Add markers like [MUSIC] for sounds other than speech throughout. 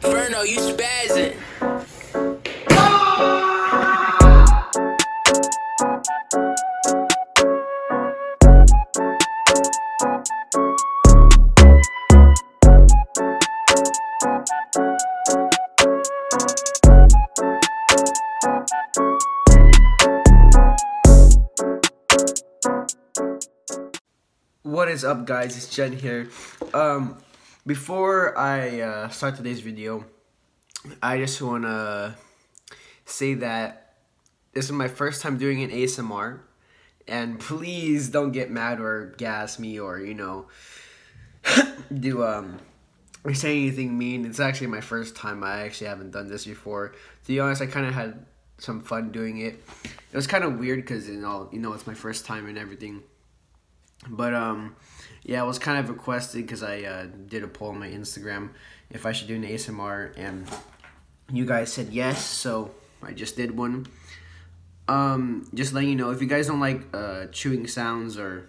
Ferno, you spazzing. What is up guys, it's Jen here. Um, before I uh, start today's video, I just want to say that this is my first time doing an ASMR. And please don't get mad or gas me or, you know, [COUGHS] do um, or say anything mean. It's actually my first time. I actually haven't done this before. To be honest, I kind of had some fun doing it. It was kind of weird because you know, you know, it's my first time and everything. But um, yeah, it was kind of requested because I uh, did a poll on my Instagram if I should do an ASMR, and you guys said yes, so I just did one. Um, just let you know if you guys don't like uh, chewing sounds or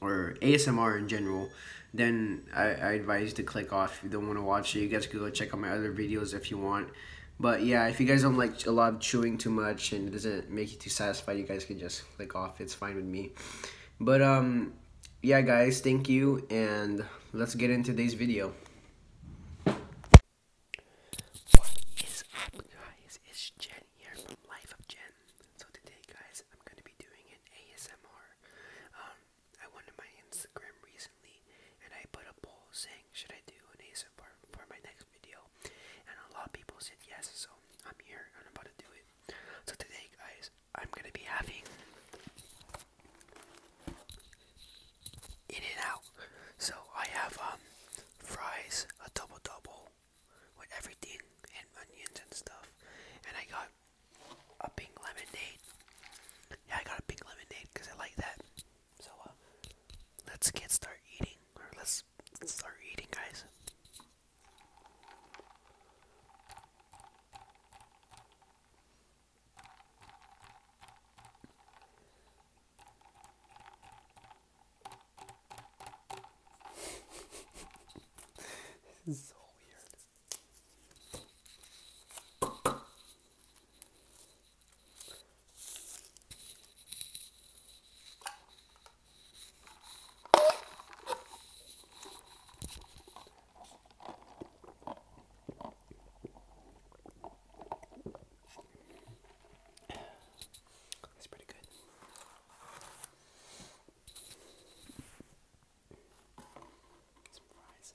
or ASMR in general, then I, advise you to click off. If you don't want to watch it, you guys can go check out my other videos if you want. But yeah, if you guys don't like a lot of chewing too much and it doesn't make you too satisfied, you guys can just click off. It's fine with me. But um, yeah, guys, thank you, and let's get into today's video. Um, Instagram reason and I put a poll saying, should I do an ASMR for my next video? And a lot of people said yes, so I'm here and I'm about to do it. So today, guys, I'm gonna be having in and out. So I have um, fries, a double double with everything and onions and stuff, and I got a pink lemonade. Yeah, I got a pink lemonade because I like that. So uh, let's get start eating, or let's start eating, guys. [LAUGHS] this is so weird. That's pretty good. Some fries.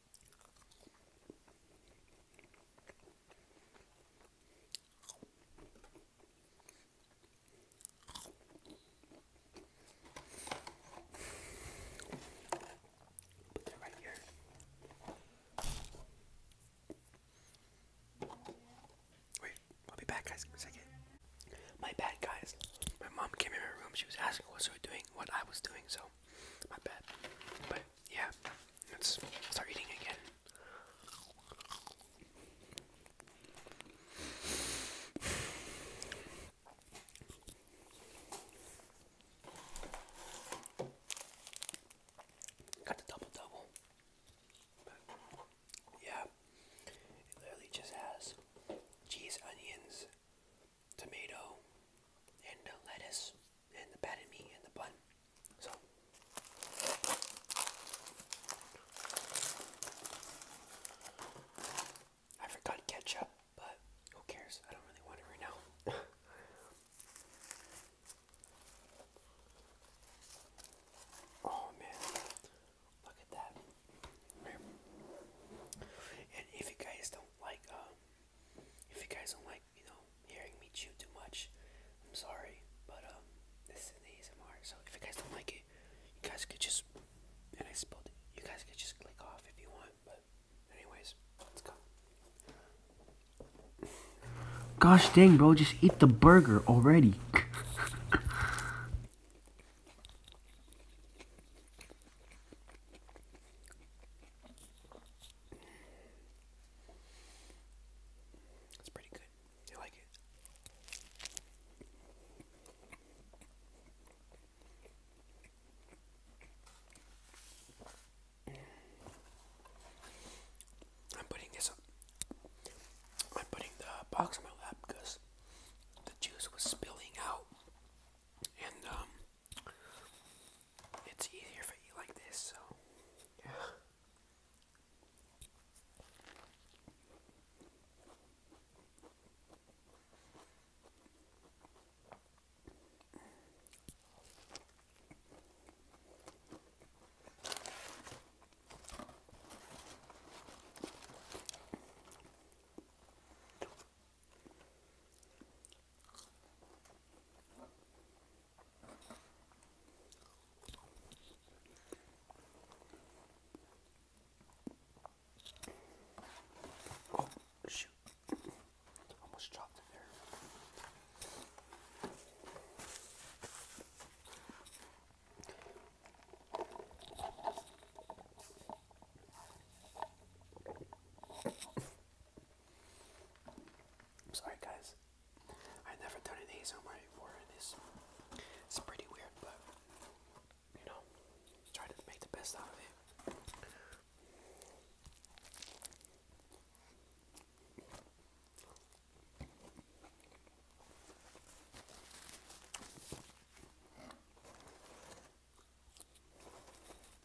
Put Wait, I'll be back, guys. second. My bad, guys. My mom came in my room. She was asking what we were doing, what I was doing. So, my bad. But yeah, let's start eating again. Got the double double. Yeah, it literally just has cheese, onions, tomato, and lettuce and the patty meat and the bun. So I forgot ketchup, but who cares? I don't really want it right now. [LAUGHS] oh man, look at that! And if you guys don't like, um, if you guys don't like you know, hearing me chew too much. I'm sorry, but um, this is the ASMR. So if you guys don't like it, you guys could just, and I spilled You guys could just click off if you want. But anyways, let's go. Gosh dang, bro! Just eat the burger already. It's pretty good. I like it. I'm putting this I'm putting the box in my lap because the juice was spilling out, and um, it's easier for you like this, so Oh, shoot. Almost dropped it there. I'm sorry guys. I've never done an ASMR before and it's, it's pretty weird but you know try to make the best out of it.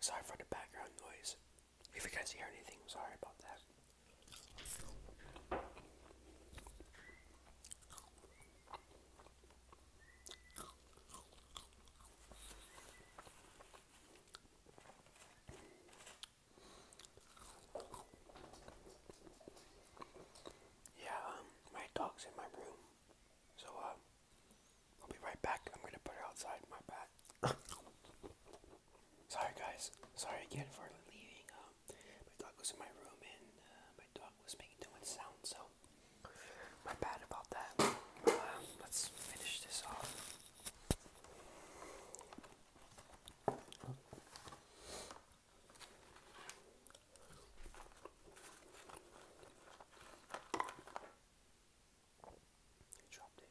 Sorry for the background noise. If you guys hear anything, sorry about that. Yeah, um, my dog's in my room. So, uh, I'll be right back. I'm gonna put her outside, my bad. [LAUGHS] Sorry, guys. Sorry again for leaving. Um, my dog was in my room and uh, my dog was making too much so my bad about that. Um, let's finish this off. He dropped it.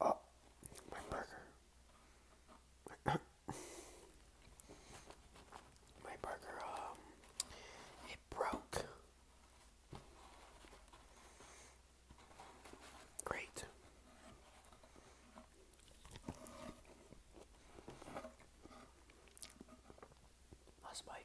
Oh, my burger. [COUGHS] My burger, um, it broke. Great. Last bite.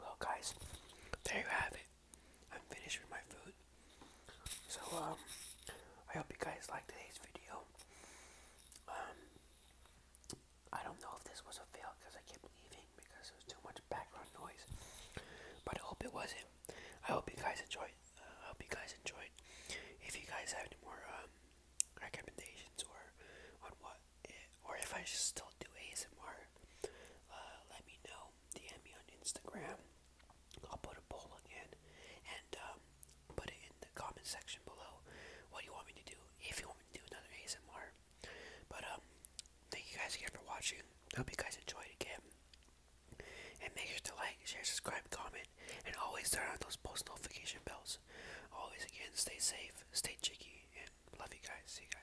Well, guys, there you have it. I'm finished with my food. So, um, I hope you guys like today's video. Um, I don't know if this was a fail because I kept leaving because there was too much background noise. But I hope it wasn't. I hope you guys enjoyed. Uh, I hope you guys enjoyed. If you guys have any more um, recommendations or on what or if I just still do ASMR, uh, let me know. DM me on Instagram. I'll put a poll again and um, put it in the comment section below what do you want me to do. If you want me to do another ASMR, but um, thank you guys again for watching. hope you guys enjoyed again. And make sure to like, share, subscribe, comment, and always turn on those post notification bells. Always again, stay safe, stay cheeky, and love you guys. See you guys.